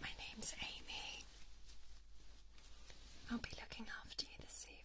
My name's Amy. I'll be looking after you this evening.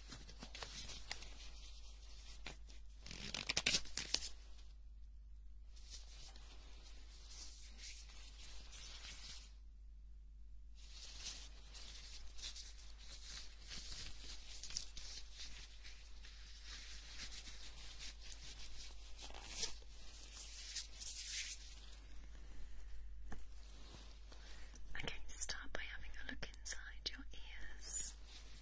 Okay, start by having a look inside your ears. Okay.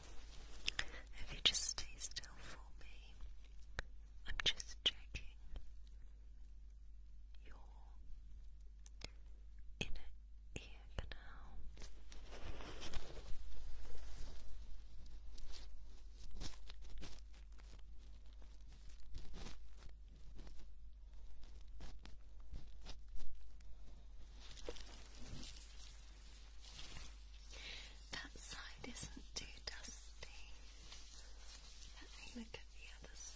If you just stay still for me, I'm just checking your inner ear canal. That side isn't too dusty. Let me look at the other side.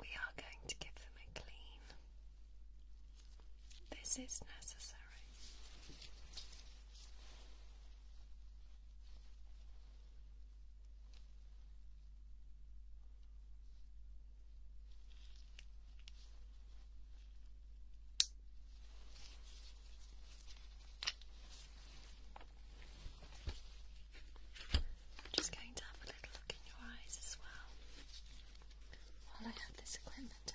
We are going to give them a clean. This is necessary. I'm just going to have a little look in your eyes as well while I have this equipment out.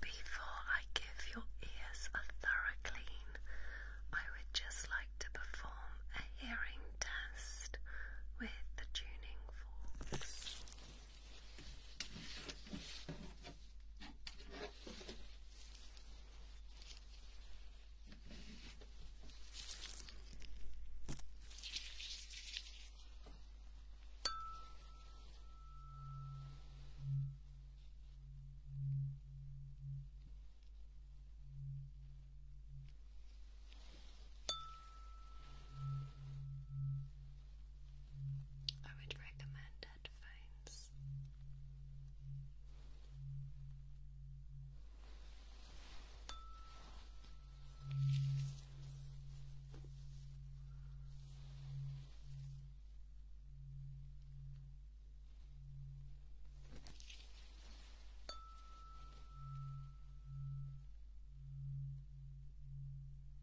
Before I give your ears a thorough clean, I would just like to perform a hearing test with the tuning forks. I would recommend uh, headphones. Good.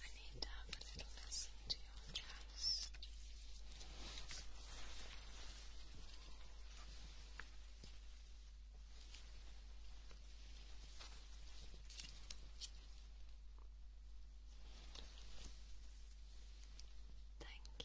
I need to have a little listen to your chest. Thank you.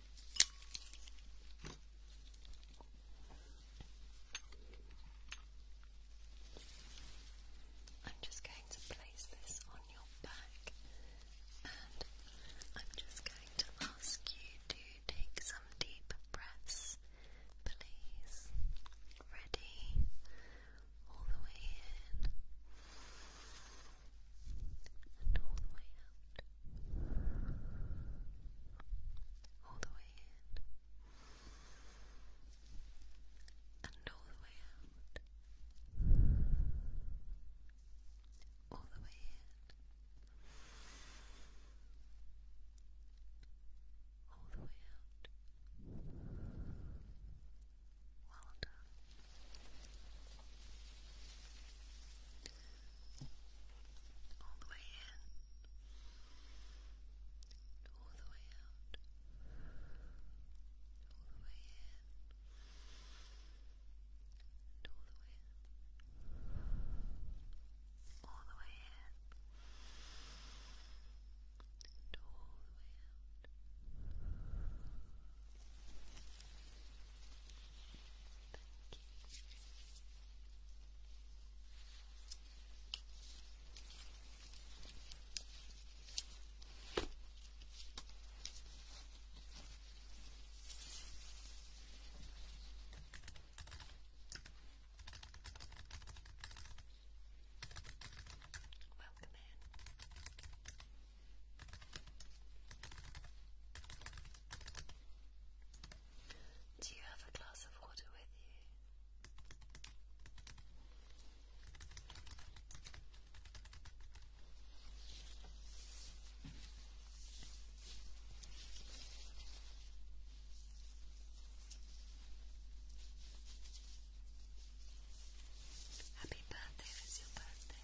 I'm just going to place this on your back and I'm just going to ask you to take some deep breaths, please. Ready? All the way in and all the way out, all the way in, and all the way out, all the way in, all the way out. Well done all the way in, all the way out, all the way in, and all the way in, all the way in, and all the way out. Thank you. Welcome in. Do you have a glass of water with you? Happy birthday, it's your birthday.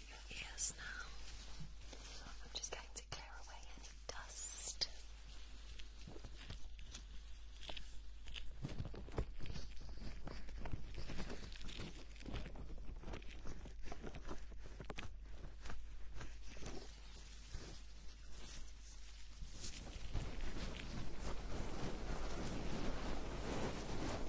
through your ears now. I'm just going to clear away any dust.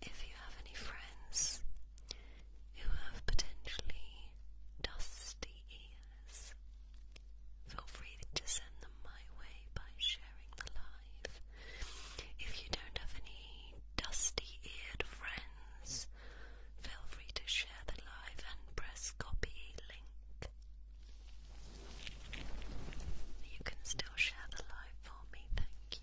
If you have any friends who have potentially dusty ears, feel free to send them my way by sharing the live. If you don't have any dusty eared friends, feel free to share the live and press copy link. You can still share the live for me, thank you.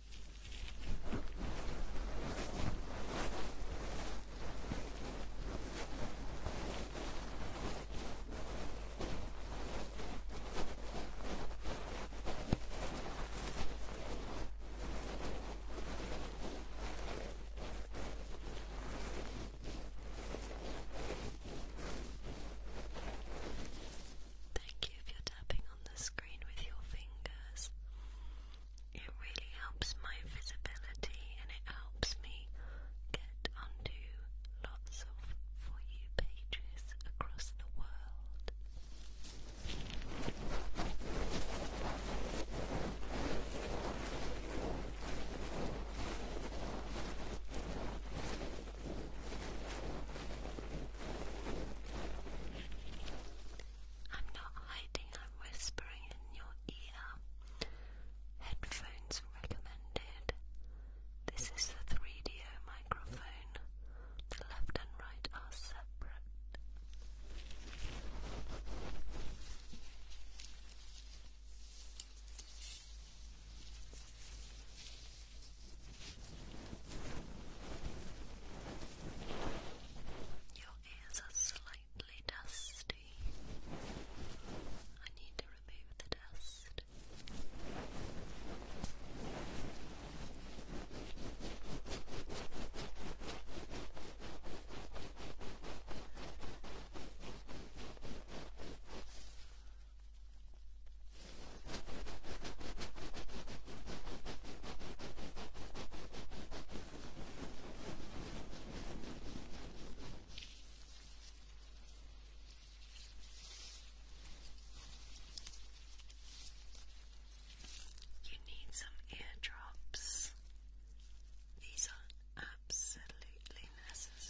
Thank you if you're tapping on the screen with your fingers. It really helps my visibility and it helps me get onto lots of For You pages across the world. I'm not hiding, I'm whispering in your ear. Headphones recommended. This is the 3 d microphone. The left and right are separate. Your ears are slightly dusty. I need to remove the dust. You need some eardrops. These are absolutely necessary.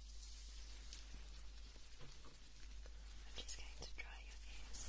I'm just going to dry your ears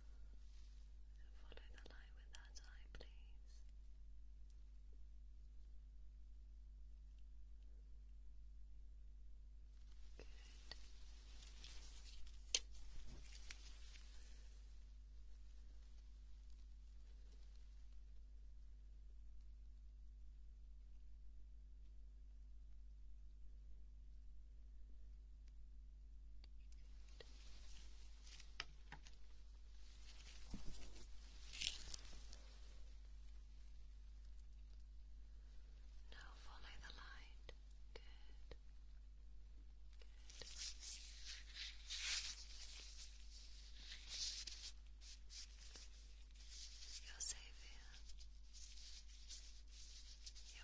Follow the light with that eye, please. Good. Now follow the light. Good. Good. You're safe here.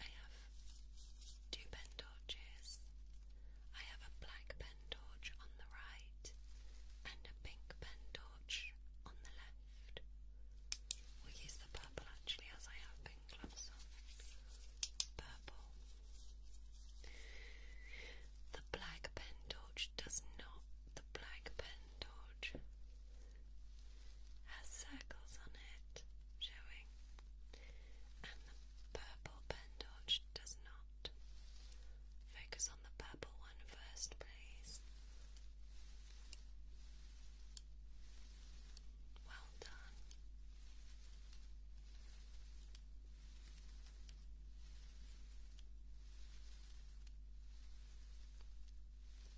I have two pen torches. I have a black pen pen torch on the right and a pink pen torch on the left. we use the purple actually as I have pink gloves on. Purple. The black pen torch does not. The black pen torch has circles on it showing and the purple pen torch does not. Focus on the purple one first, please. Well done.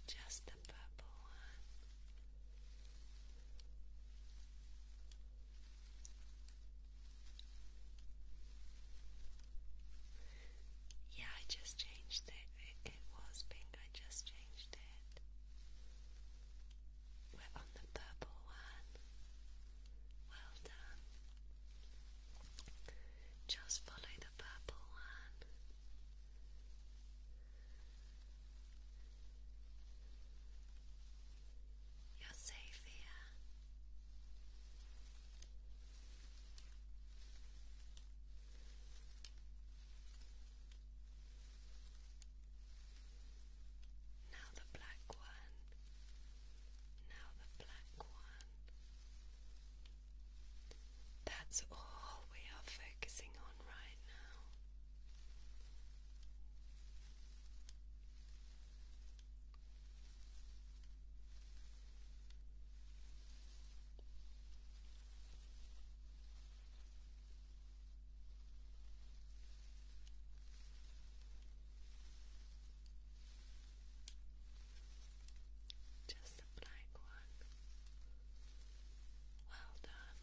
Just the purple one. Yeah, I just changed it. it. was pink, I just changed it. We're on the purple one. Well done. Just follow the purple one. You're safe here. Now the black one. Now the black one. That's all we are focusing on right now. Just the black one. Well done.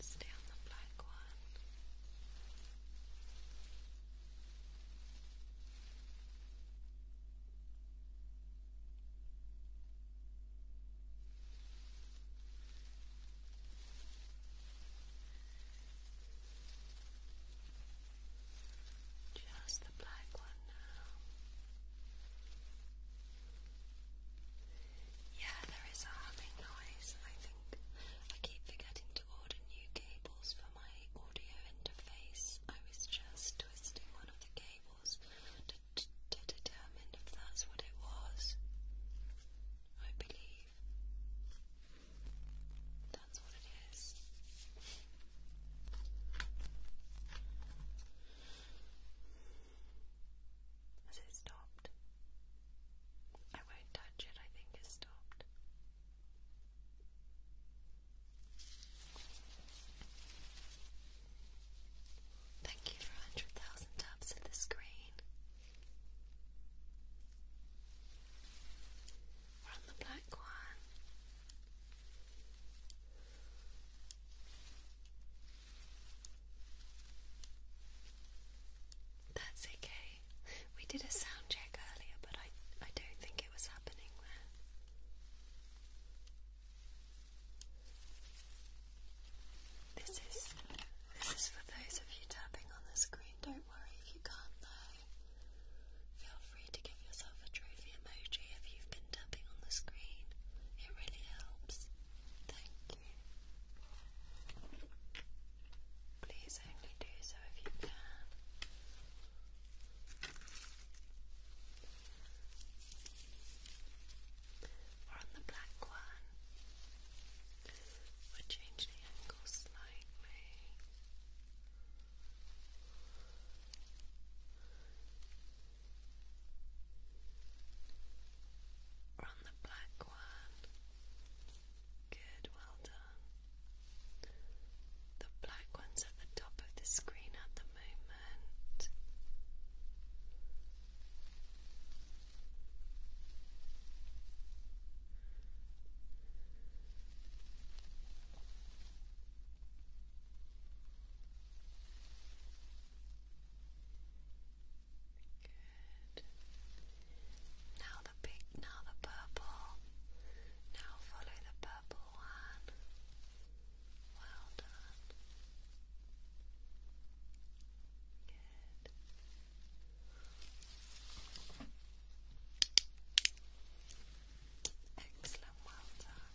Stay on the black one. Just the black one now. Yeah, there is a humming noise. I think I keep forgetting to order new cables for my audio interface. I was just twisting one of the cables to, to determine if that's what it was. I believe that's what it is. Has it stopped? I won't touch it, I think it's stopped. Thank you for 100,000 taps of the screen. We're on the black one. That's okay. We did a sound check earlier, but I I don't think it was happening there. This is this is for those of you tapping on the screen. Don't worry if you can't though. Feel free to give yourself a trophy emoji if you've been tapping on the screen. It really helps. Thank you. Please only do so if you can. Or on the black one, we change the angle slightly. We're on the black one. Good, well done. The black one's at the top of the screen at the moment. Good. Now the pink, now the purple. Now follow the purple one. Well done. Good. Excellent, well done.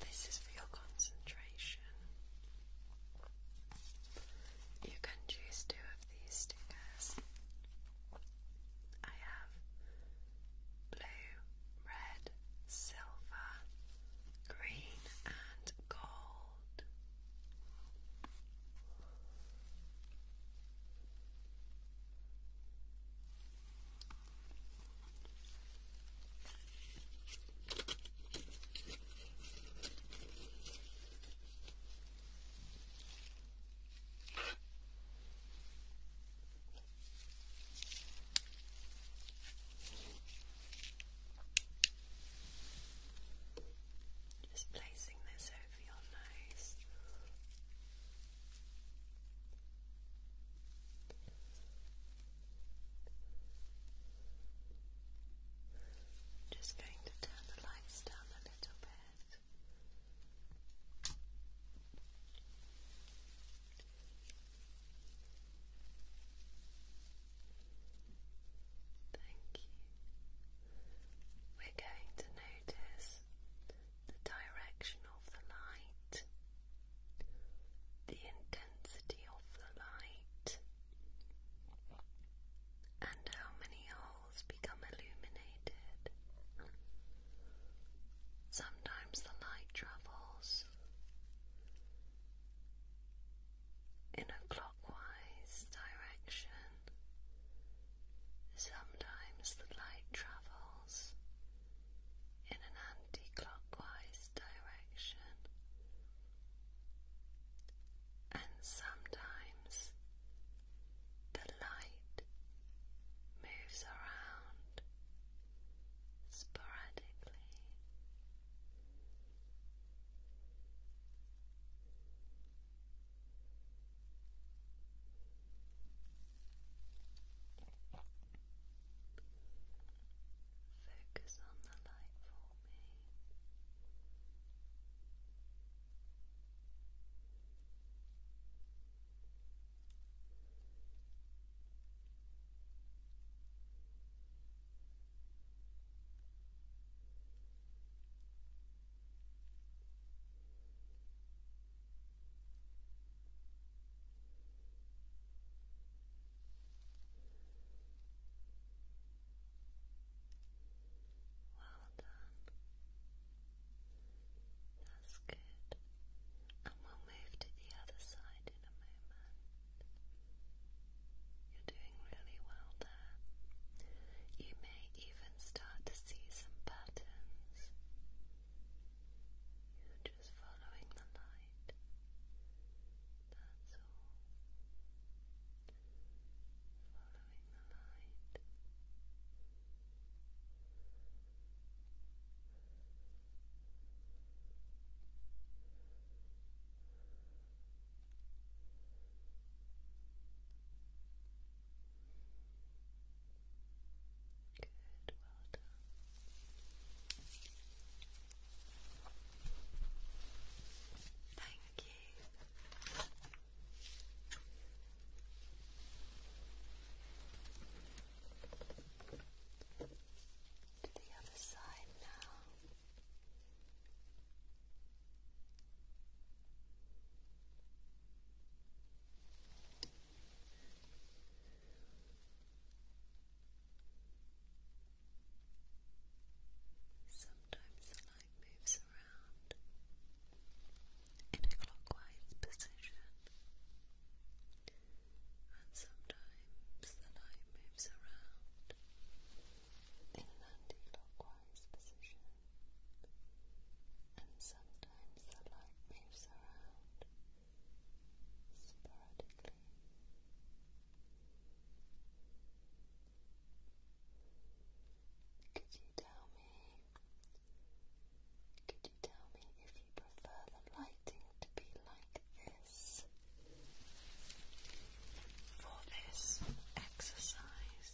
This is for your concentration. You can choose two of these stickers. I have blue, red, silver, green, and gold. Just placing this over your nose just going to turn the lights down a little bit. Thank you. We're going to notice the direction of the light, the intensity of the light, and how many holes become illuminated. Sometimes the light travels in a clockwise direction. Sometimes the light travels in an anti-clockwise direction and sometimes the light moves around sporadically. Focus on the light for me. Well done. That's good. And we'll move to the other side in a moment. You're doing really well there. You may even start to see some patterns just following the light. That's all. Following the light. Just Good, well done. Thank you. To the other side now. Sometimes the light moves around in a clockwise position, and sometimes the light moves around in an anti-clockwise position, and sometimes the light moves around sporadically. Could you tell me? Could you tell me if you prefer the lighting to be like this for this exercise,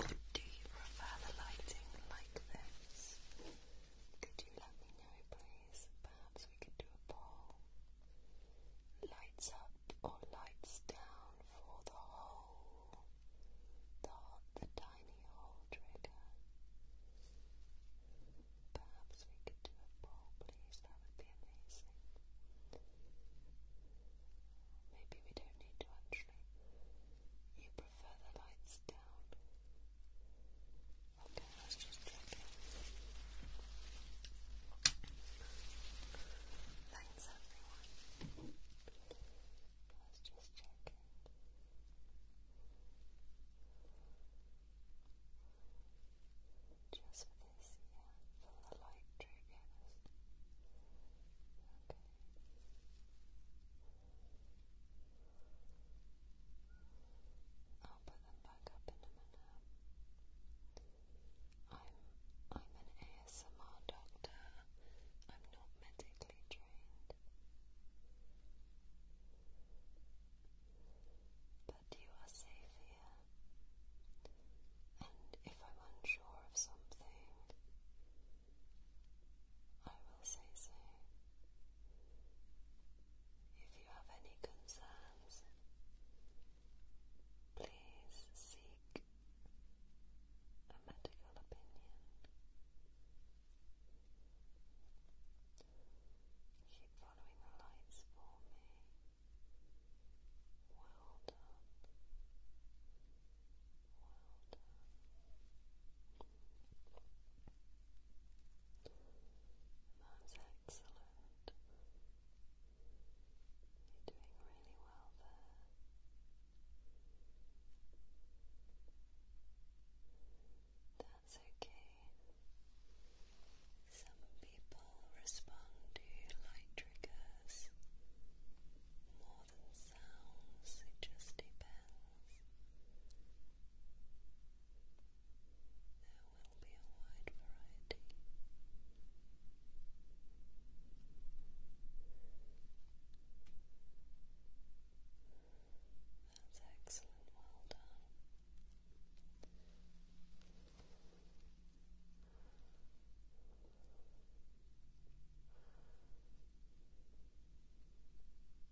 or do you prefer the lighting like this? Could you let me know, please? Perhaps we could do a poll. Lights up or lights down for the whole, the, the tiny hole trigger. Perhaps we could do a poll, please. That would be amazing. Maybe we don't need to actually prefer the lights down. Okay, let's just check it. Thanks everyone. Let's just check it. Just for this, yeah, for the light triggers. Okay. I'll put them back up in a minute. I'm I'm an ASMR doctor. I'm not medically trained. But you are safe here. And if I'm unsure of something, I will say so. If you have any concerns, please seek a medical opinion. Keep following the lights for me. Well done. Well done. That's excellent. You're doing really well there. That's okay. Some people respond to light triggers more than sounds, it just depends. There will be a wide variety. That's excellent, well done.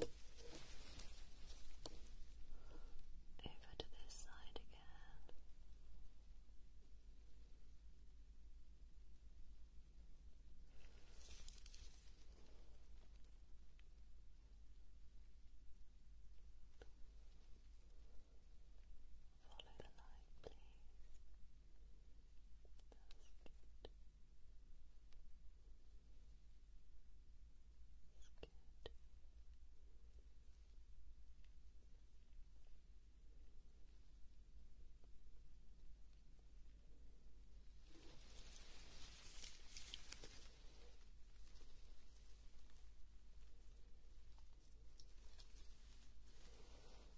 Over to this side again. Follow the light, please. good. Good. Once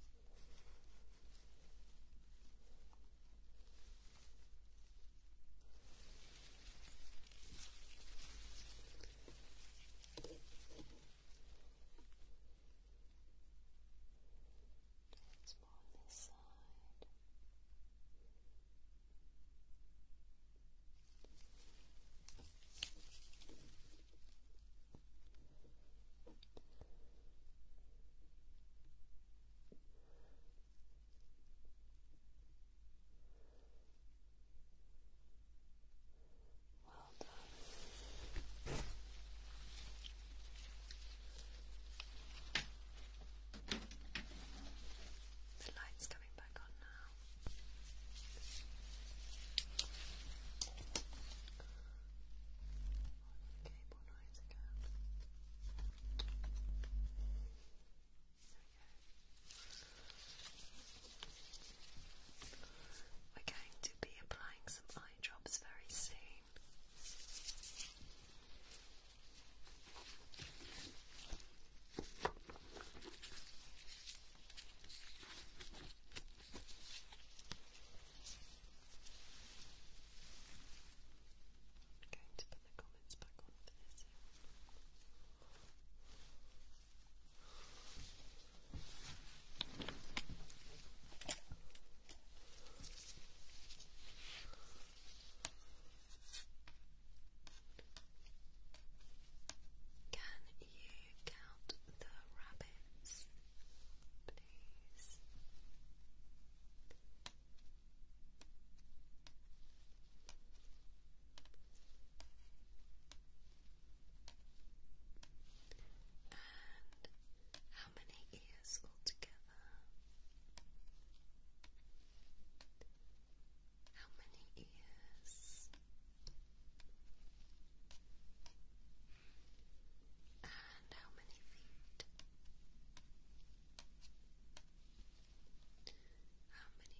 more on this side. Good. Well done. The light's coming back on now cable noise We're going to be applying some eye drops very soon i going to put the comments back on Can you count the rabbits? days. And how many ears altogether? How many ears? And how many feet? How many feet? How many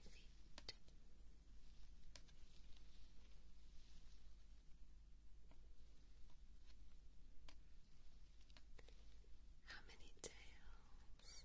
tails? How many tails?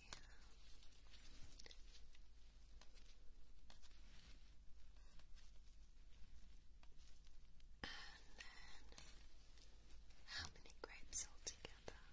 And then, how many grapes altogether? Well done.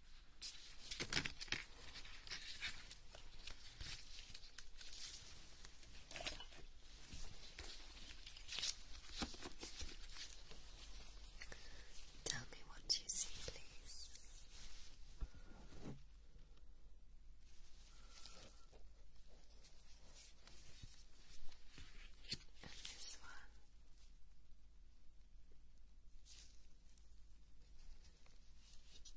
Tell me what you see, please. And this one. And this one. And this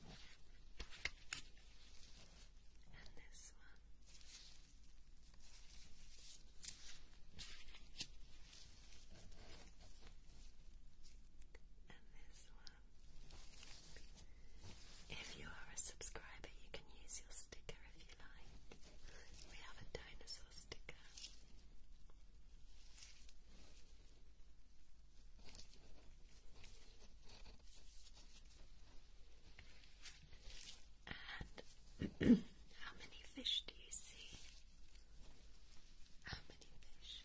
one. And this one. If you are a subscriber, you can use your sticker if you like. We have a dinosaur sticker. And how many fish do you see? How many fish?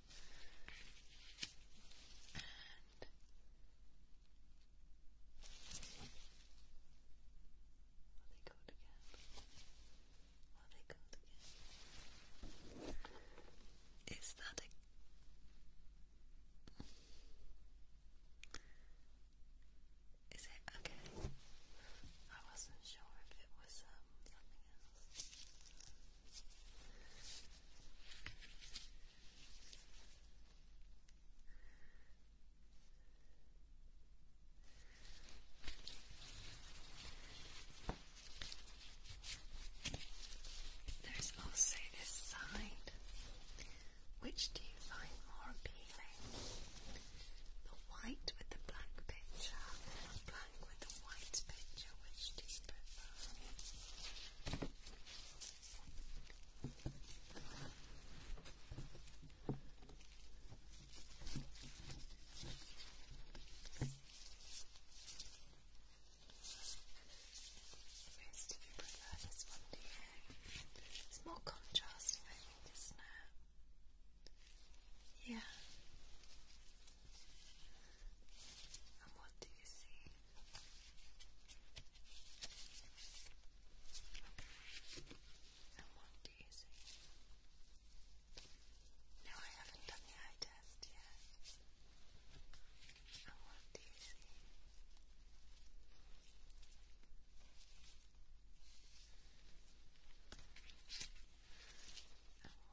And are they called again? Are they called again? Is that a it okay? I wasn't sure if it was um, something else. There's also this side. Which do you find more appealing? The white with the black picture, black with the white picture? Which do you prefer? Rose, do you prefer this one, do you? It's more contrasting, I think, is Yeah. And what do you see? And what do you see? No, I haven't done the eye test yet. And what do you see? And what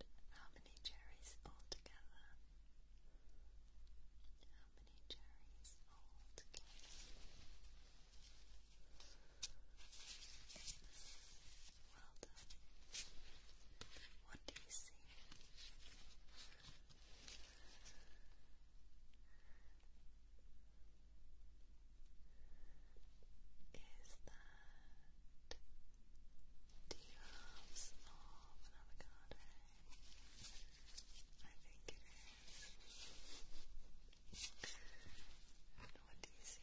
And how many cherries altogether? How many cherries altogether? Well done. What do you see? Is that do you love of avocado? I think it is. what do you see?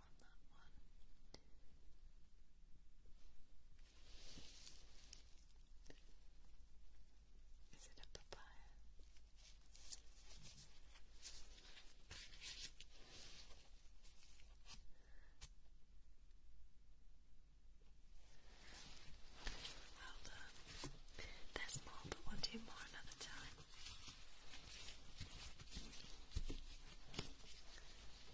on that Is it a papaya? Well done. There's more, but we'll do more another time.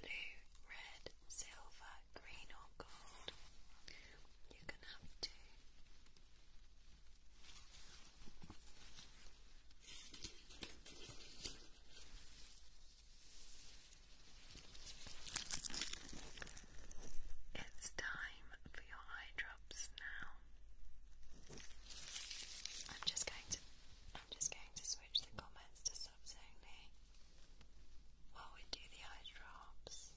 Blue, red, silver, green, or gold. You can have two. It's time for your eye drops now. I'm just going to I'm just going to switch the comments to subs only while we do the eye drops.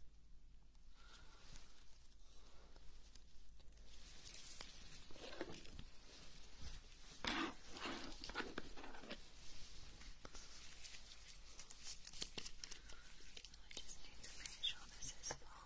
I just make sure this is full.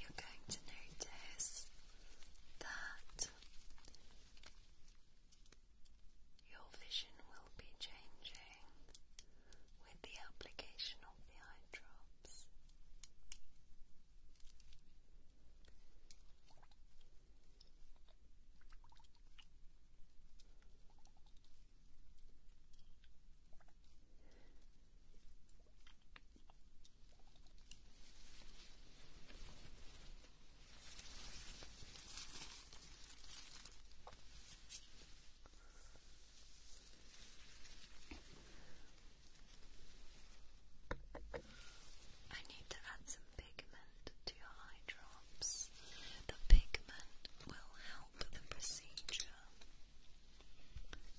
You're going to notice that your vision will be changing with the application of the eye drops. I need to add some to your eye drops. The pigment will help the procedure.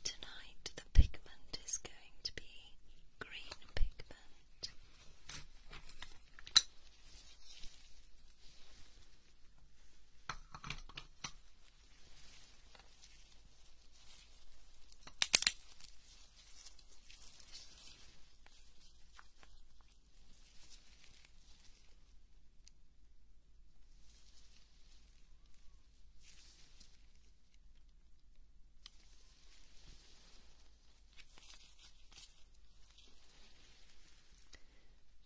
Tonight, the pigment is going to be green pigment.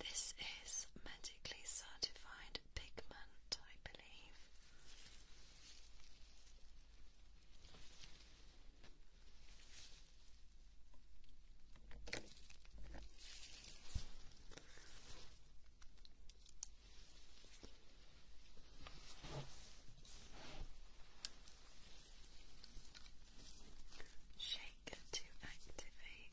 This is medically certified pigment, I believe. Shake to activate.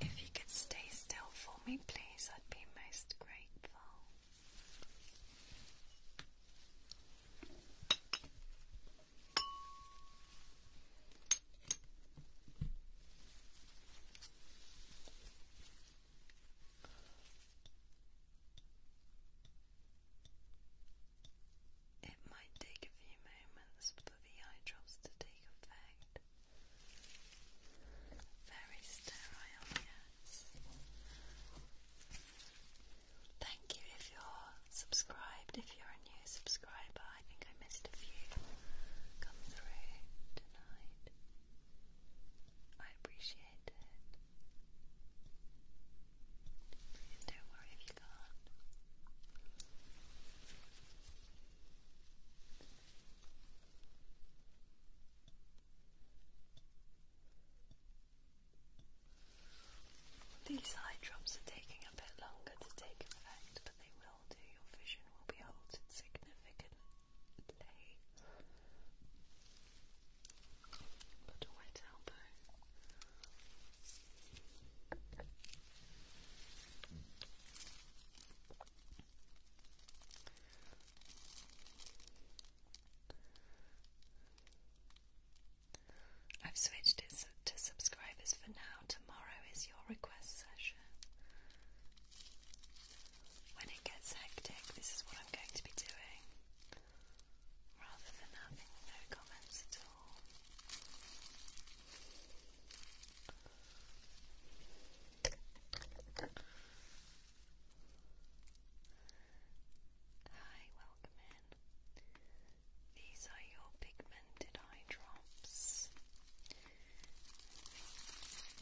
If you could stay still for me, please, I'd be most grateful. It might take a few moments for the eye to take effect. Very sterile, yes. Thank you if you're subscribed, if you're a new subscriber. I think I missed a few come through tonight. I appreciate it. don't worry if you can't. These eye drops are taking a bit longer to take effect, but they will do. Your vision will be altered significantly. Put a wet elbow. I've switched it to subscribers for now. Tomorrow is your request session. When it gets hectic, this is what I'm going to be doing. Rather than having no comments at all. Hi, welcome in. These are your pigmented eye drops.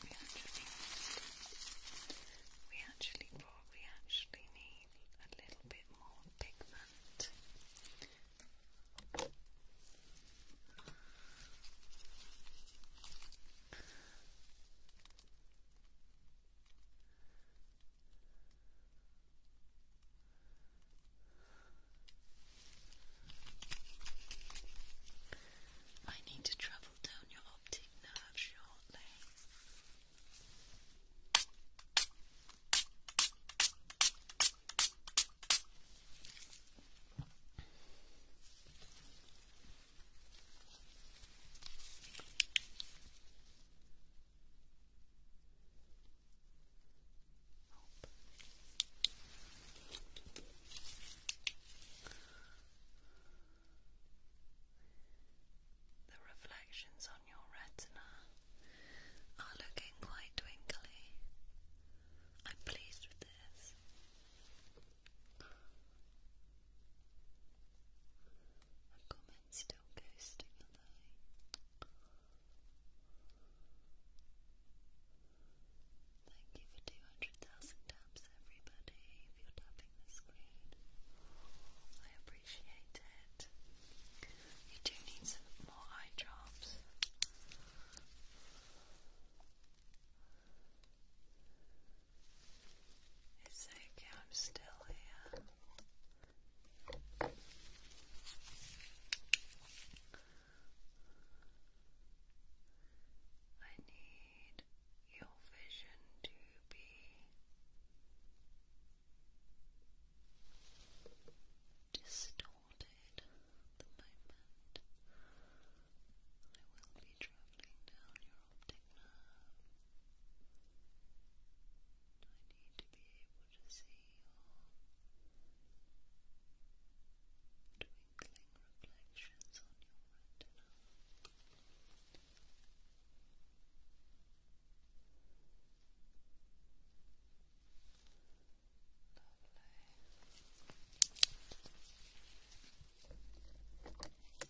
We actually, we actually, we actually need a little bit more pigment. I need to travel down your optic nerve shortly. The reflections on your retina are looking quite twinkly. I'm pleased with this. Recommend still ghosting, are they? Thank you for 200,000 taps, everybody, if you're tapping the screen. I appreciate it. You do need some more eye drops. It's okay, I'm still here. Uh, I need your vision to be distorted the moment. I will be travelling down your your optic I need to be able to see your twinkling reflections on your retina. Lovely.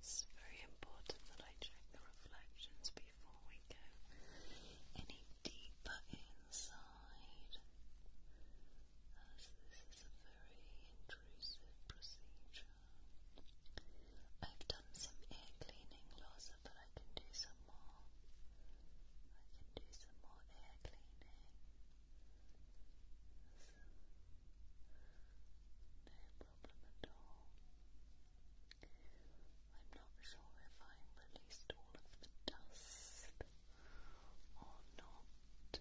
It's very important that I check the reflections before we go any deeper inside, as this is a very I've done some air cleaning, Loza, but I can do some more. I can do some more ear cleaning. no problem at all. I'm not sure if I've released all of the dust or not.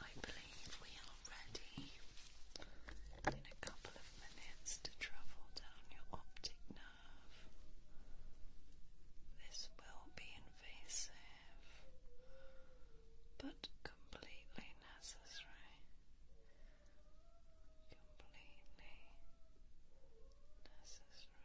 I believe we are ready in a couple of minutes to travel down your optic nerve. This will be invasive, but completely necessary. Completely necessary.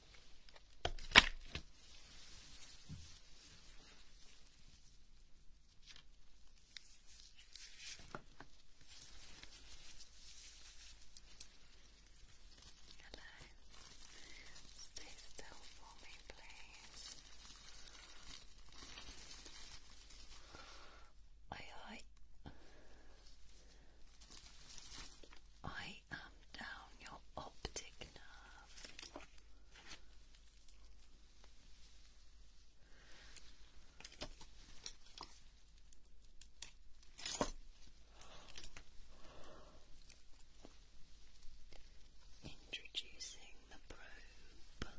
Hello. Stay still for me, please. Aye, I down your optic nerve. Introducing the probe.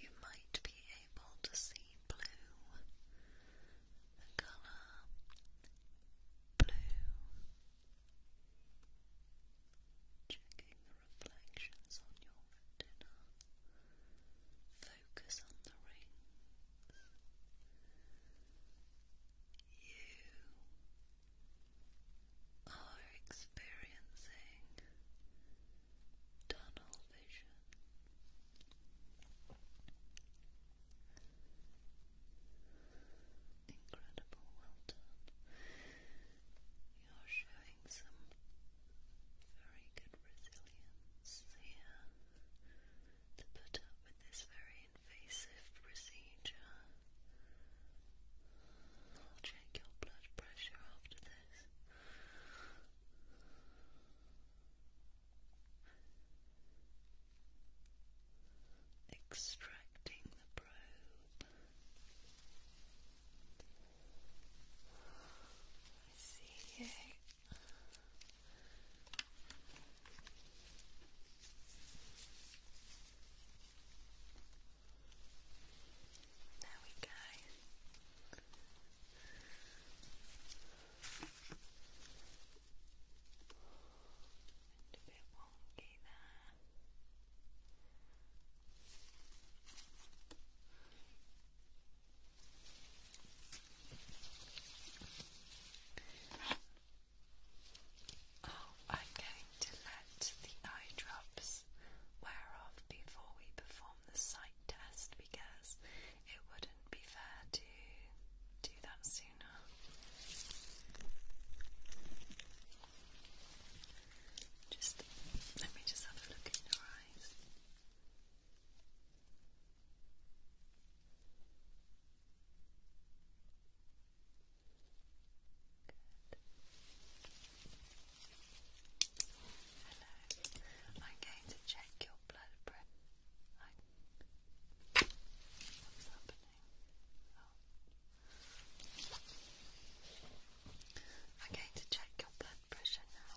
You might be able to see blue, the colour blue. Checking the reflections on your retina. Focus on the rings. You are experiencing tunnel vision. Incredible, well You're showing some very good resilience here to put up with this very invasive procedure. I'll check your blood pressure after this extracting the probe. see it. There we go wonky there. Oh, I'm going to let the eye drops wear off before we perform the sight test because it wouldn't be fair to do do that Just let me just have a look in your eyes. Good. Hello. I'm going to check your blood pressure. What's happening? I'm going to check your blood pressure now.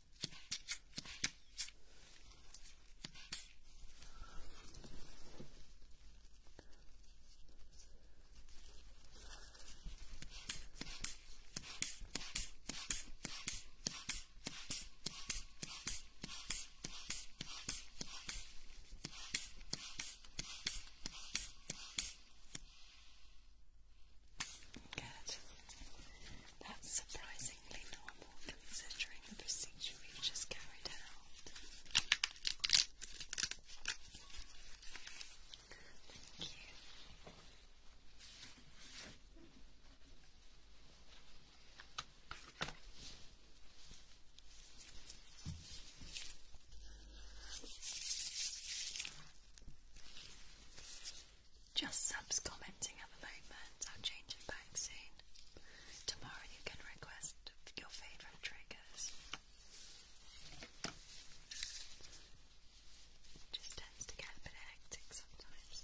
Good. That's surprising normal considering the procedure just carried out. Thank you. Just subs commenting at the moment. I'll change it back soon. Tomorrow you can request your favourite triggers. just tends to get a bit hectic sometimes.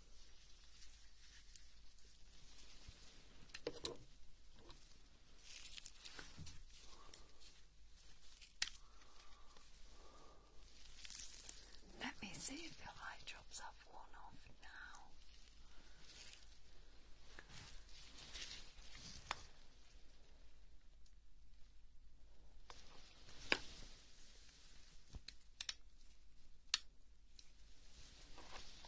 Let me see if your eye drops have worn off now.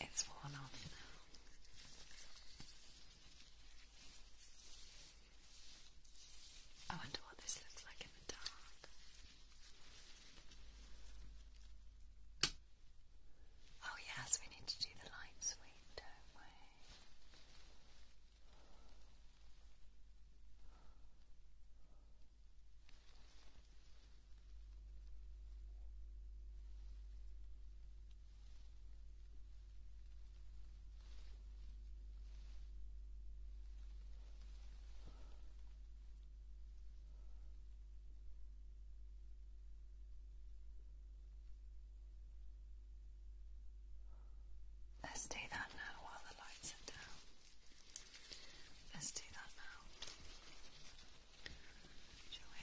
It's worn off now. I wonder what this looks like in the dark. Oh yes, we need to do the light sweep, don't we? Let's do that now while the lights are down. Let's do that now. Shall we?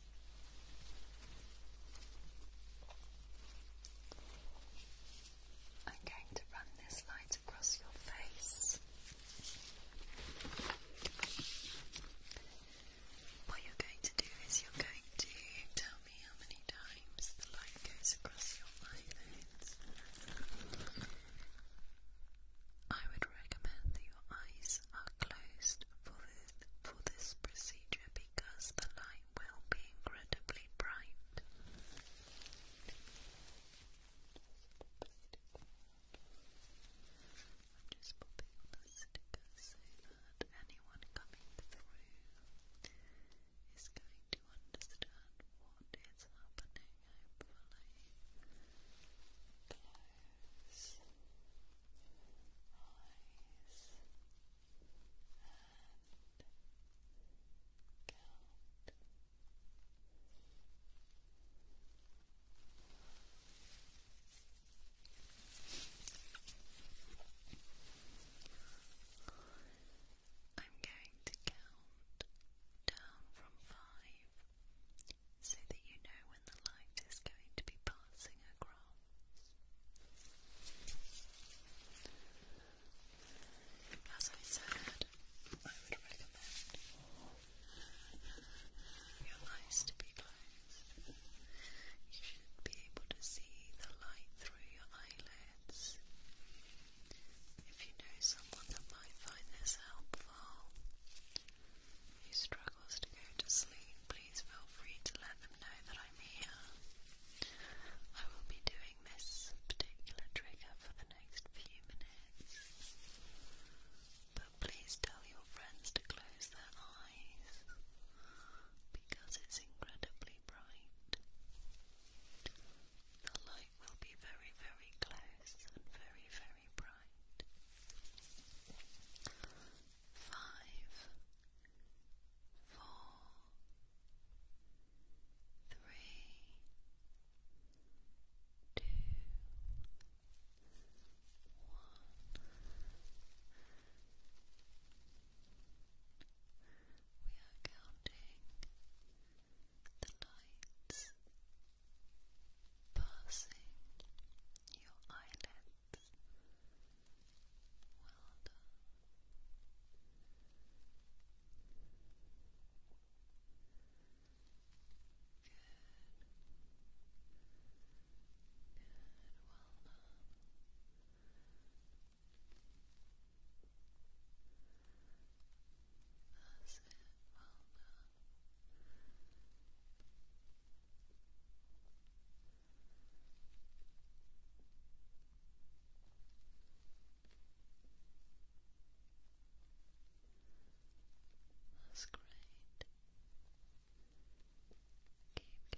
I'm going to run this light across your face. What you're going to do is you're going to tell me how many times the light goes across your eyelids. I would recommend that your eyes are closed for this, for this procedure because the light will be incredibly bright. I'm just popping the sticker so that anyone coming through is going to understand what is happening, hopefully. Close eyes. I'm going to count down from five so that you know when the light is going to be passing across. As I said, I would recommend your eyes to be closed. You should be able to see the light through your eyelids. If you know someone that might find this helpful, who struggles to go to sleep, please feel free to let them know that I'm here. I will be doing this particular trigger for the next few minutes. But please tell your friends to close their eyes because it's incredibly bright. The light will be very, very close and very, very bright five, four, three, two, one. We are counting the lights passing your eyelids. Well done. Good. Good. Well done. That's it. Well done. That's great. Keep counting. Well done. Well done.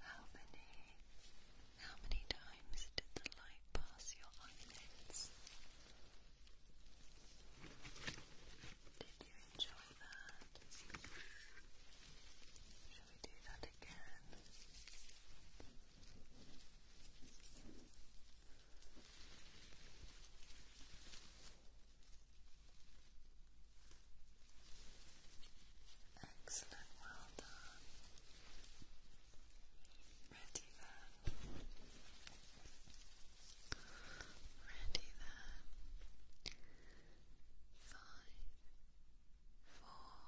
How many how many times did the light pass your eyelids? Did you enjoy that? Shall we do that again? Excellent, well done. Ready then. Ready then. Five, four,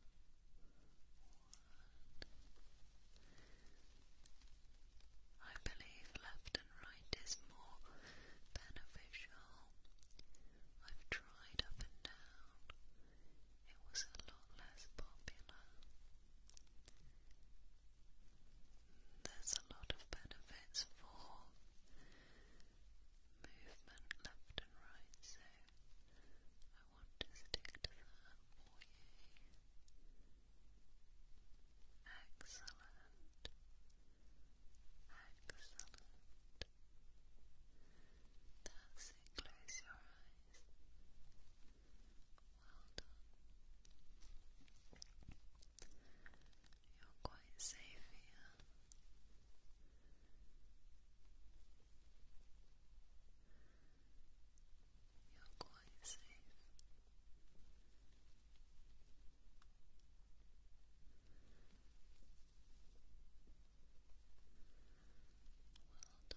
three, two, one. I believe left and right is more beneficial. I've tried up and down. It was a lot less popular. There's a lot of benefits for movement left and right, so I want to stick to that Excellent. Excellent. That's it. Close your eyes. Well done. You're quite safe here. You're quite play safe. Well done. Good.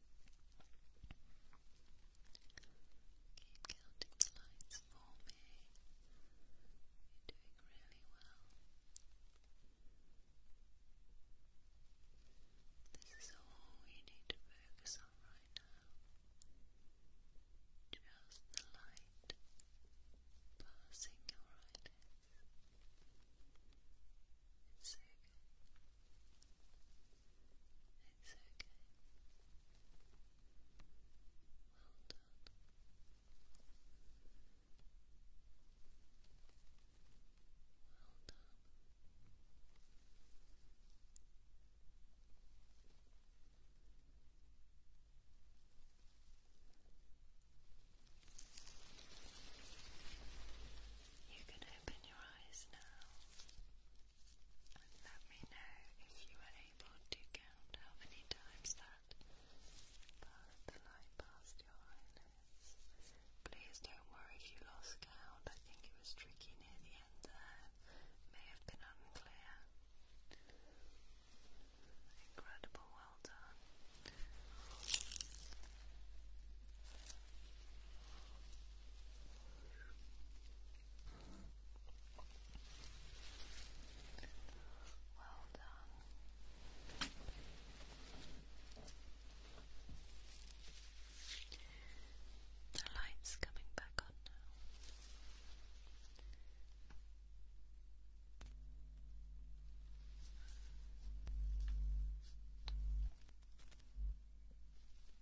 Keep counting the lights for me. You're doing really well. This is all we need to focus on right now. Just the light passing your eyelids. It's so it's okay. Well done. Well done. You can open your eyes now and let me know if you are able to count how many times that the light past your eyelids. Please don't worry if you lost count. I think it was tricky near the end there. May have been unclear. Incredible, well done. Well done. The light's coming back on now.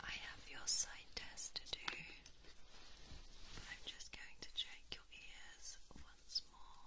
I have your sight test to do. I'm just going to check your ears once more.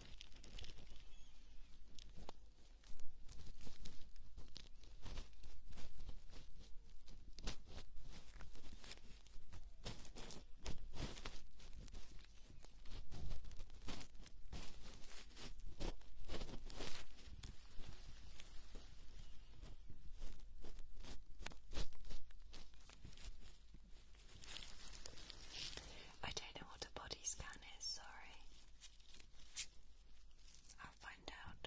I don't know what a body scan John is sorry. I'll find out.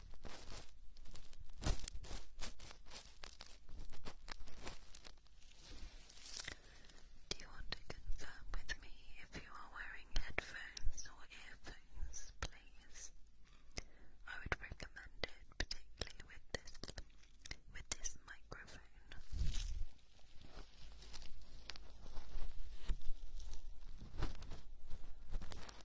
Do you want to confirm with me if you are wearing headphones or earphones, please? I would recommend it, particularly with this with this microphone.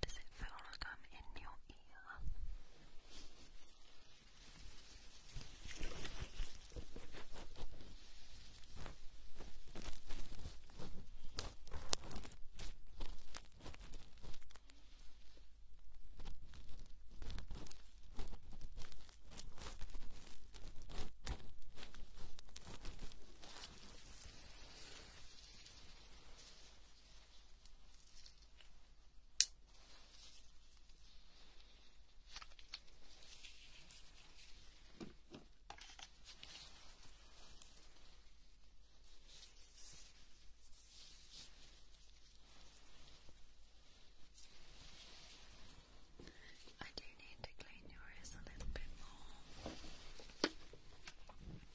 Does it feel like I'm in your ear? I do need to clean yours a little bit more.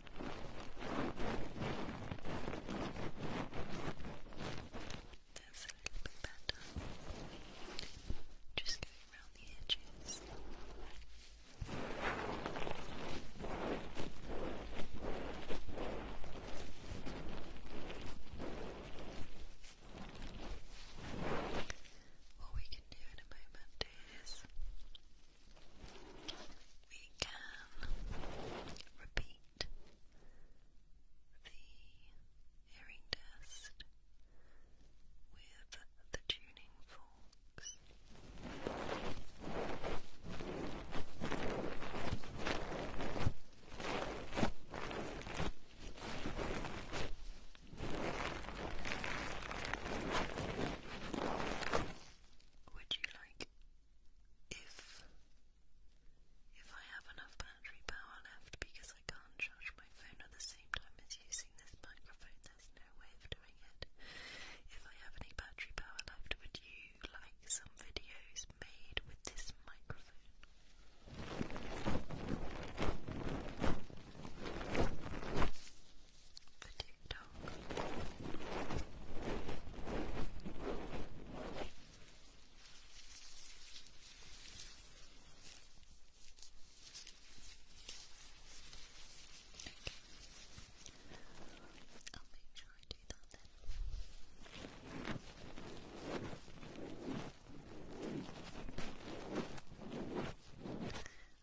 That's a little bit better. Just going around the edges. What we can do in a moment is we can repeat the hearing test with the tuning forks would you like if if I have enough battery power left because I can't charge my phone at the same time as using this microphone, there's no way of doing it. If I have any battery power left, would you like some videos made with this microphone? the TikTok. Okay. I'll make sure I do that then.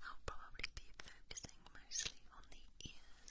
I'll probably be focusing mostly on the ears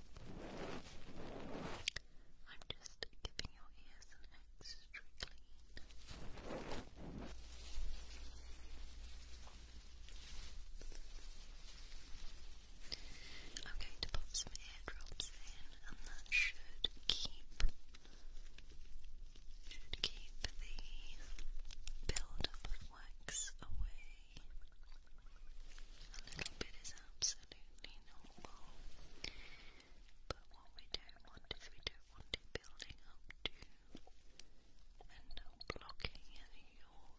I'm just giving your ears an extra clean. I'm going to pop some eardrops in, and that should keep should keep the build up of wax away. A little bit is absolutely normal. But what we don't want is we don't want it building up to end up blocking your ear canal.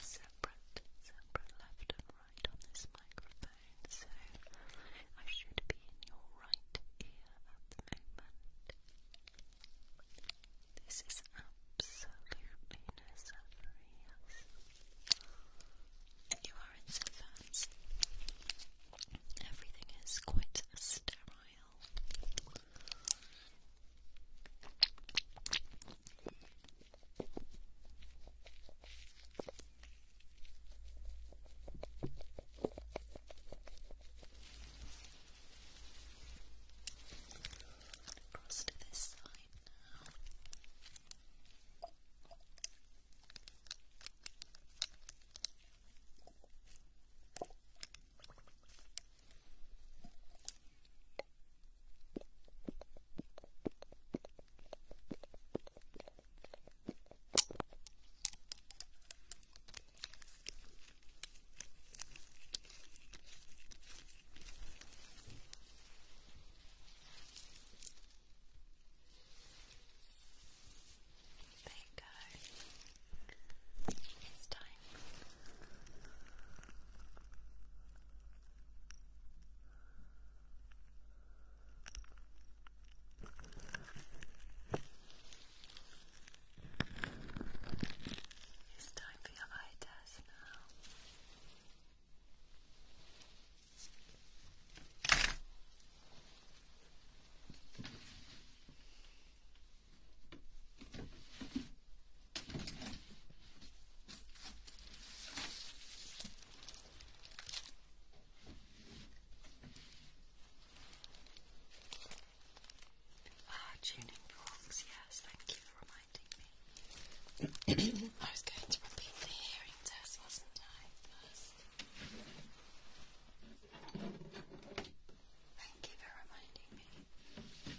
Separate, separate left and right on this microphone, so I should be in your right ear at the moment. This is absolutely necessary. You are in Savans. Everything is quite sterile. Across to this side now. Okay. There you go. It's time. It's time for your eye test now. Ah, tuning forks, yes, thank you for reminding me. I was going to repeat the hearing test, wasn't I? Thank you for reminding me.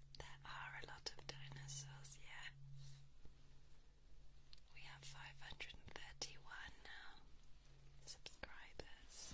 There are a lot of dinosaurs, yeah. We have 531 now subscribers.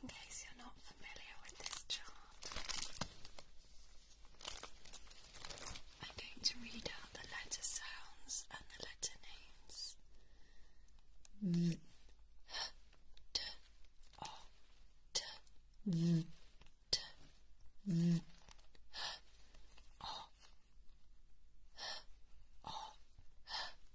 In case you're not familiar with this chart, I'm going to read out the letter sounds and the letter names. Mm.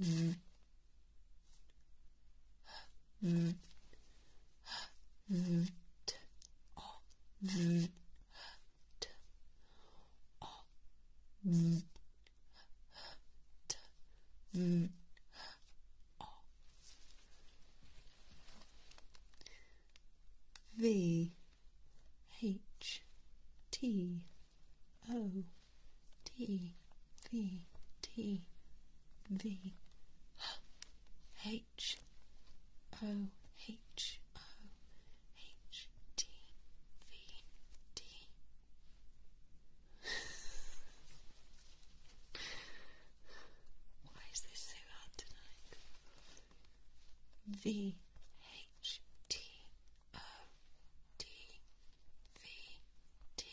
Mm. V. H. T. O. T V T V H O H O H T V T. Why is this so hard tonight? V H T O D V D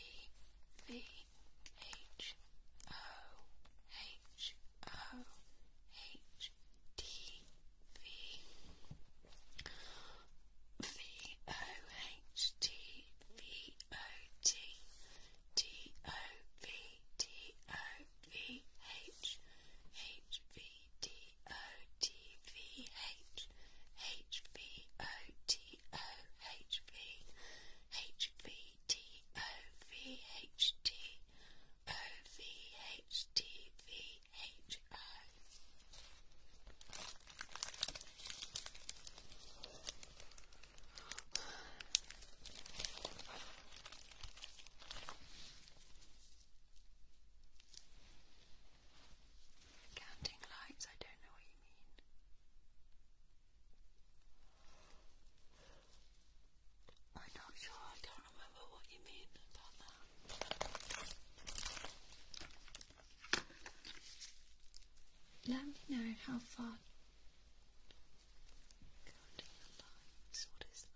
V H O H O H D V V O H T V O T T O V T O V H H V D O T V H H H V O T O H V H V T O V H T O V H T V H O. Counting lights, I don't know what I'm not sure, I don't remember what you mean about that. Let me know how far counting the lines, what is that?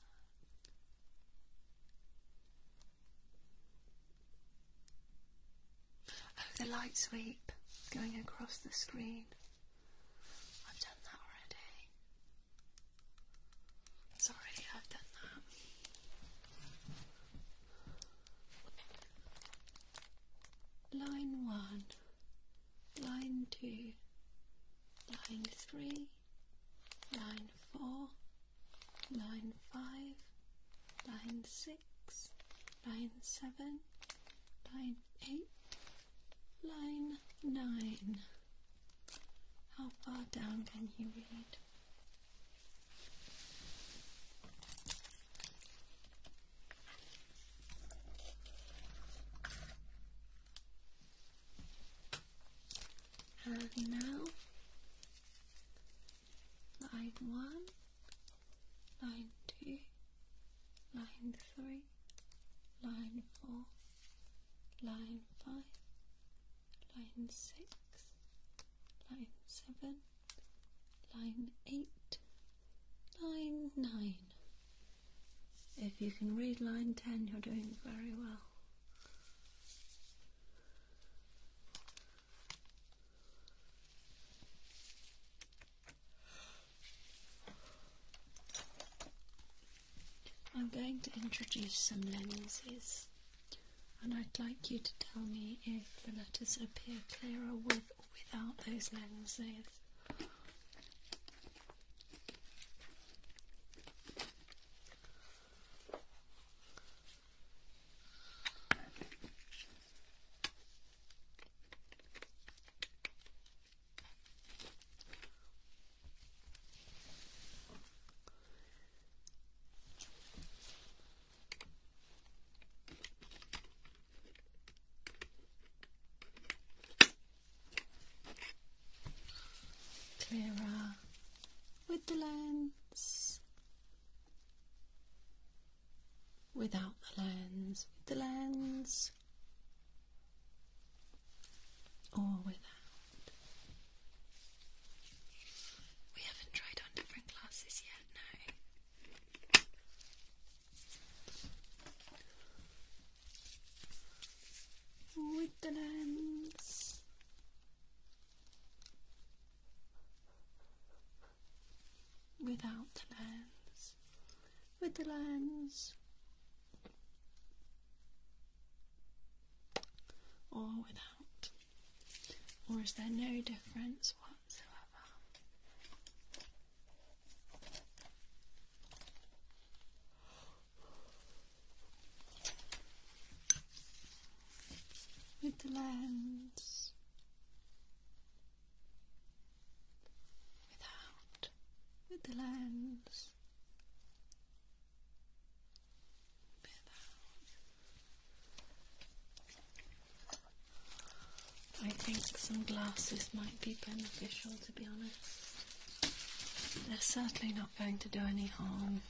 Oh, the light sweep going across the screen. I've done that already. Sorry, I've done that. Line one, line two, line three, line four, line five, line six, line seven, line eight, line nine. How far down can you read? And now, line one, line 2, line 3, line 4, line 5, line 6, line 7, line 8, line 9. If you can read line 10, you're doing very well. I'm going to introduce some lenses, and I'd like you to tell me if the letters appear clearer with or without those lenses. Clara with the lens without the lens, with the lens, or without. We haven't tried on different glasses yet, no. With the lens without lens, with the lens, or without? Or is there no difference whatsoever? With the lens, without with the lens I think some glasses might be beneficial to be honest they're certainly not going to do any harm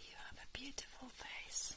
You have a beautiful face.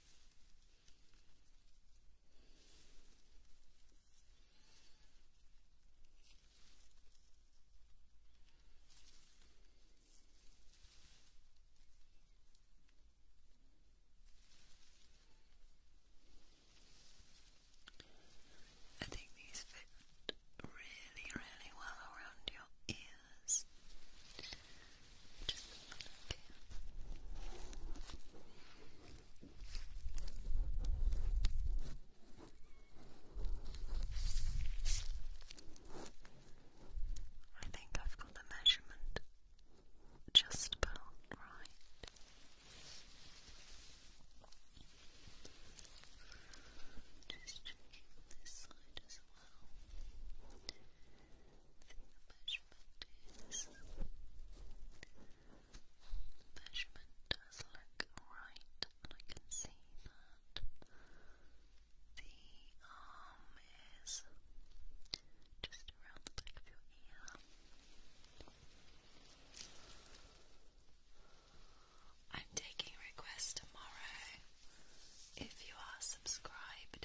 I think these fit really, really well around your ears. I think I've got the measurement just about right. Just checking this side as well measurement is. measurement does look right, and I can see that the arm is just around the back of your ear. I'm taking requests tomorrow. If you are subscribed,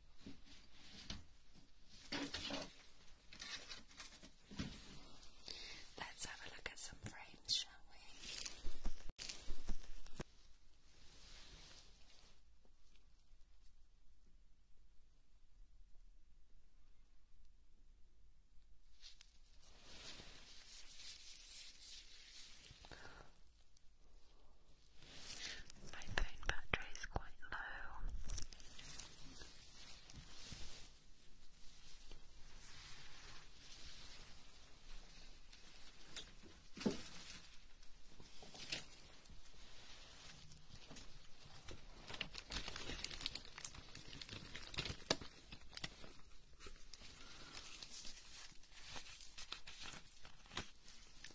Let's have a look at some frames, shall we? My phone battery is quite low.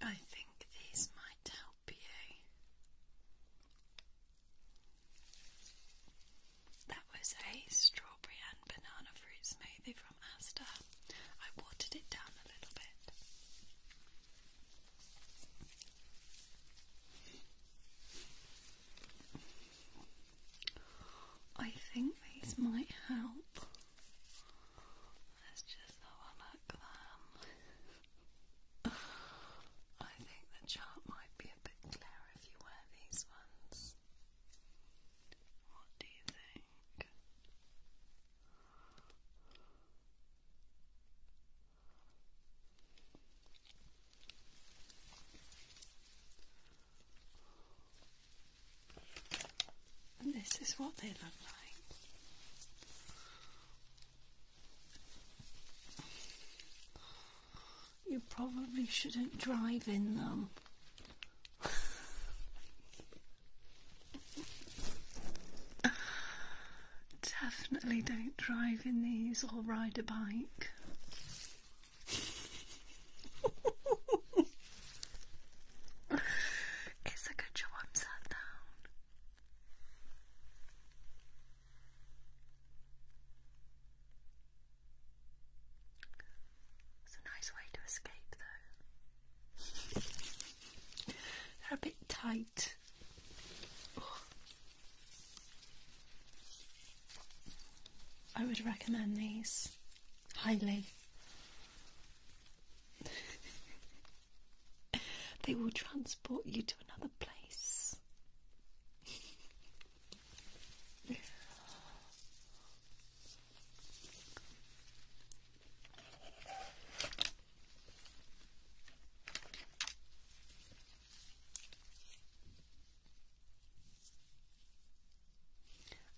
I think these might help you. That was a strawberry and banana fruit smoothie from Asta. I watered it down a little bit. I think these might help. Let's just have a look them. I think the chart might be a bit clearer if you wear these ones. What do you think? And this is what they look like. You probably shouldn't drive in them. Definitely don't drive in these or ride a bike. it's a good job I'm sat down. It's a nice way to escape, though. They're a bit tight I would recommend these highly. they will transport you to another place.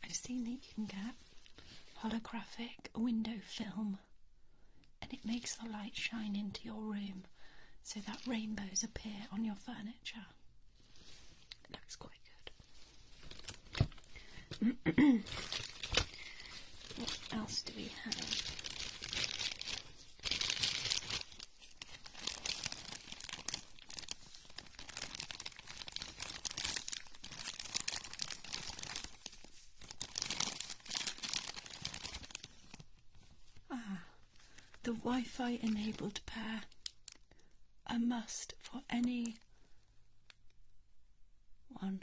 I've seen that you can get holographic window film and it makes the light shine into your room so that rainbows appear on your furniture. looks quite good. What else do we have? Ah, the Wi-Fi enabled pair. A must for any one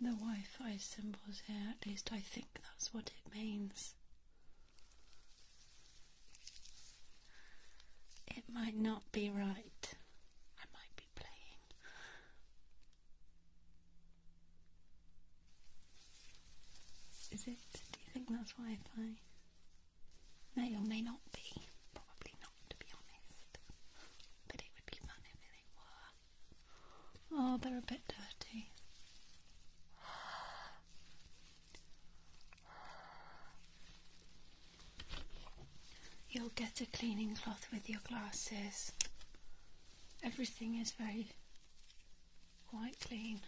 The Wi Fi symbols here, at least I think that's what it means. It might not be right. I might be playing. Is it? Do you think that's Wi Fi? May or may not be. Probably not, to be honest. But it would be fun if it were. Oh, they're a bit dirty. You'll get a cleaning cloth with your glasses. Everything is very quite clean.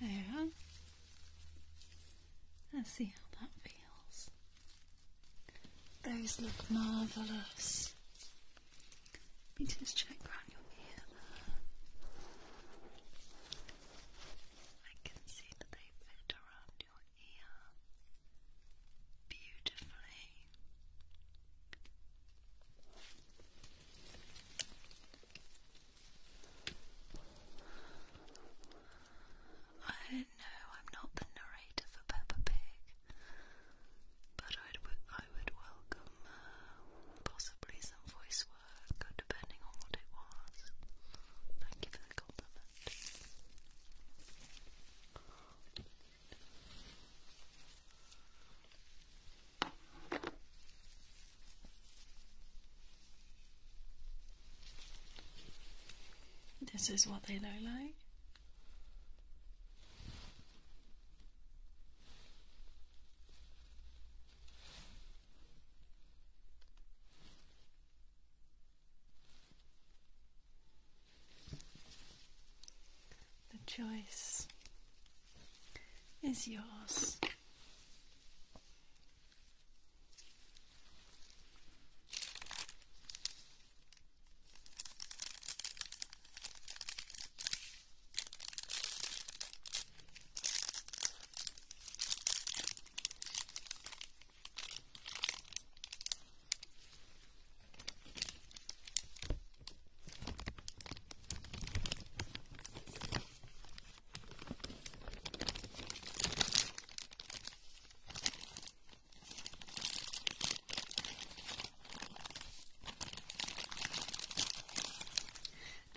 There. Let's see how that feels. Those look marvellous. just check around your ear I can see that they fit around your ear beautifully. I know I'm not the narrator for Peppa Pig, but I'd w I would welcome uh, possibly some voice work, depending on what it was. Thank you for the compliment. This is what they look like. The choice is yours.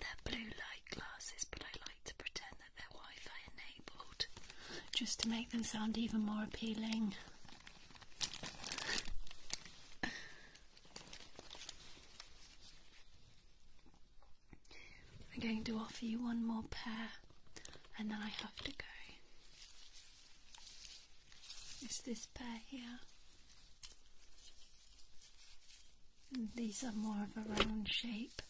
They're blue light glasses, but I like to pretend that they're Wi Fi enabled just to make them sound even more appealing. I'm going to offer you one more pair and then I have to go. It's this pair here. these are more of a round shape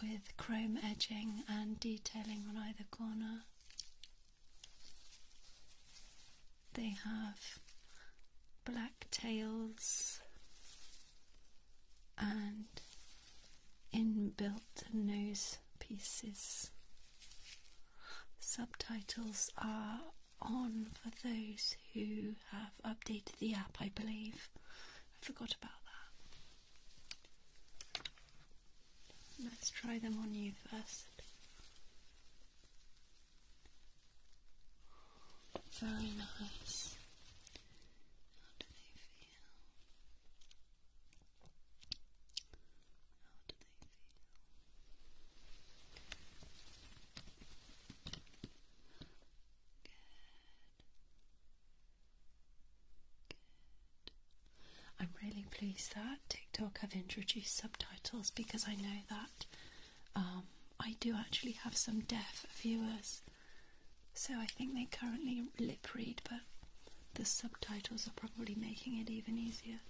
with chrome edging and detailing on either corner. They have black tails and inbuilt nose pieces. Subtitles are on for those who have updated the app, I believe. I forgot about that. Let's try them on you first. Very nice. How do they feel? How do they feel? Good. Good. I'm really pleased that TikTok have introduced subtitles because I know that um, I do actually have some deaf viewers. So I think they currently lip read, but the subtitles are probably making it even easier.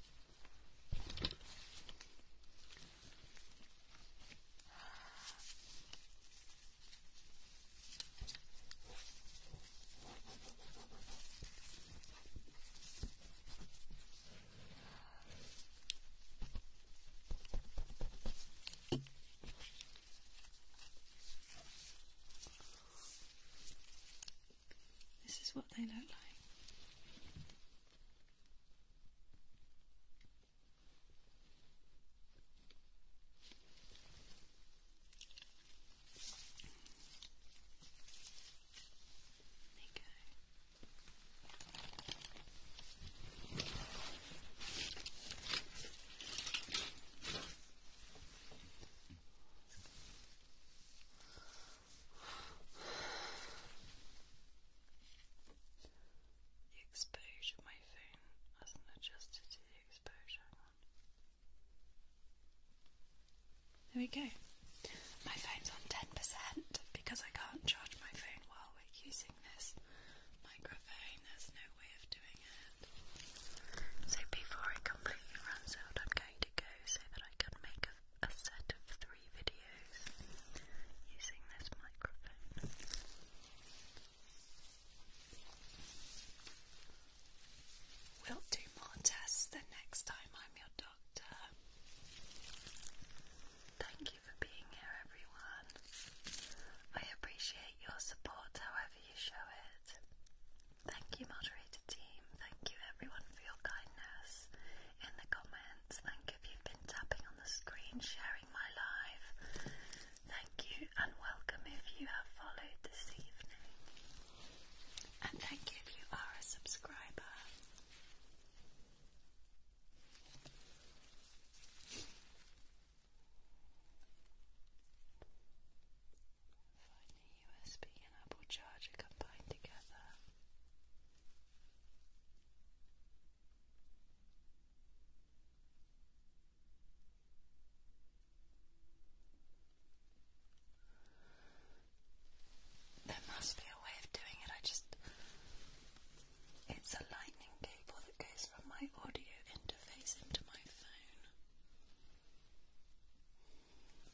This is what they look like. There you go. The exposure, my phone hasn't adjusted to the exposure. Hang on. There we go. My phone's on 10% because I can't charge my phone while we're using this microphone. There's no way of doing it. So before it completely runs out, I'm going to go so that I can make a, set of three videos using this microphone. We'll do more tests the next time I'm your dog um, thank you for being here, everyone. I appreciate your support however you show it. Thank you, moderator team. Thank you, everyone, for your kindness. In the comments, thank if you've been tapping on the screen, sharing my live. Thank you and welcome if you have followed this evening. And thank you if you are a subscriber. Find the USB and Apple charger combined together. There must be a way of doing it. I just. It's a lightning cable that goes from my audio interface into my phone.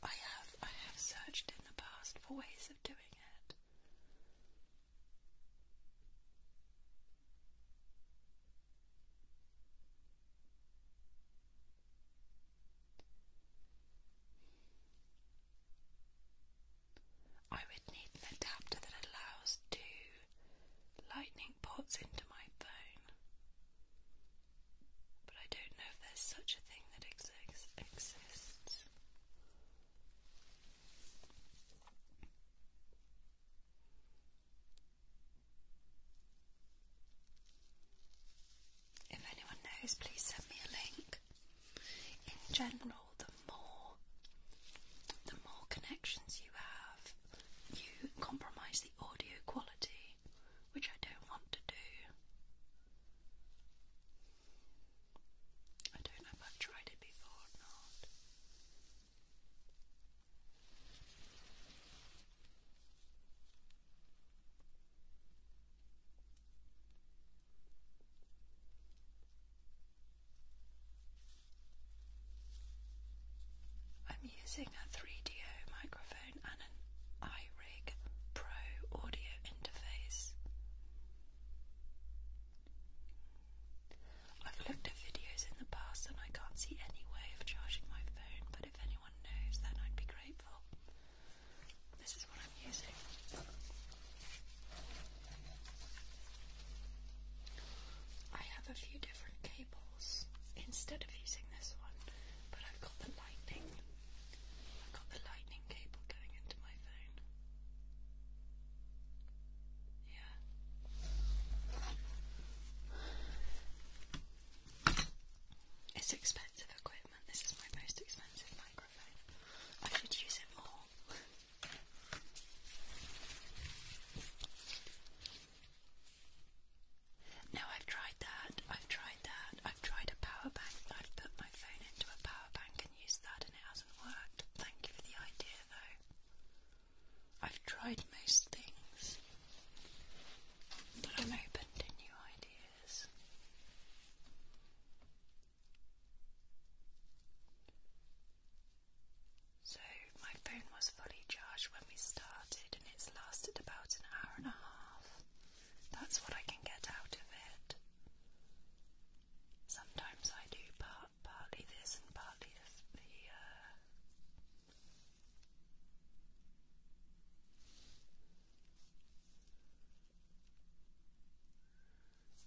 I have I have searched in the past for ways of doing it. I would need an adapter that allows two lightning ports into my phone. But I don't know if there's such a thing that exists. If anyone knows, please send me a link. In general, the more the more connections you have, you compromise the audio quality, which I don't want to do. I don't know if I've tried it before or not. I'm using a 3DO microphone and an iRig Pro audio interface. I've looked at videos in the past and I can't see any way of charging my phone, but if anyone knows, then I'd be grateful. This is what I'm using. I have a few different cables instead of using this one, but I've got the lightning. I've got the lightning cable going into my phone. Yeah. It's expensive equipment. This is my most expensive mic I should use it more. no, I've tried that. I've tried that. I've tried a power bank. I've put my phone into a power bank and used that, and it hasn't worked. Thank you for the idea, though. I've tried most things, but I'm open to new ideas is. So, my phone was fully charged when we started, and it's lasted about an hour and a half. That's what I can get out of it. Sometimes I do part, partly this and partly the, uh,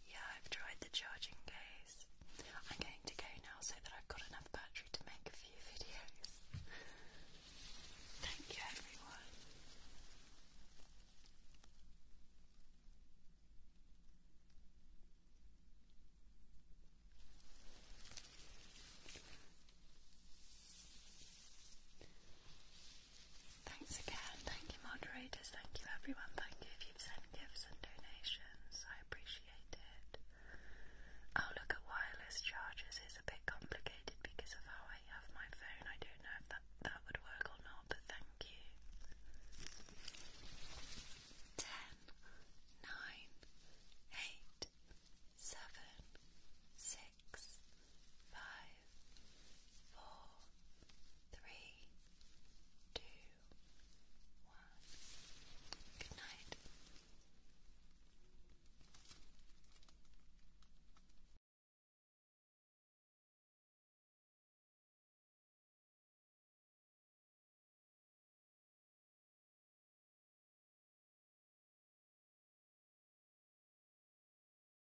yeah, I've tried the charging case. I'm going to go now so that I've got enough battery to make a few videos. Thank you, everyone. Thanks again. Thank you, moderators. Thank you, everyone. Thank you if you've sent gifts and donations. I appreciate it. I'll oh, look at wireless chargers. It's a bit complicated because of how I have my phone. I don't know if that, that would work or not, but thank you. 10, six, five, four, three, two, one. Good night.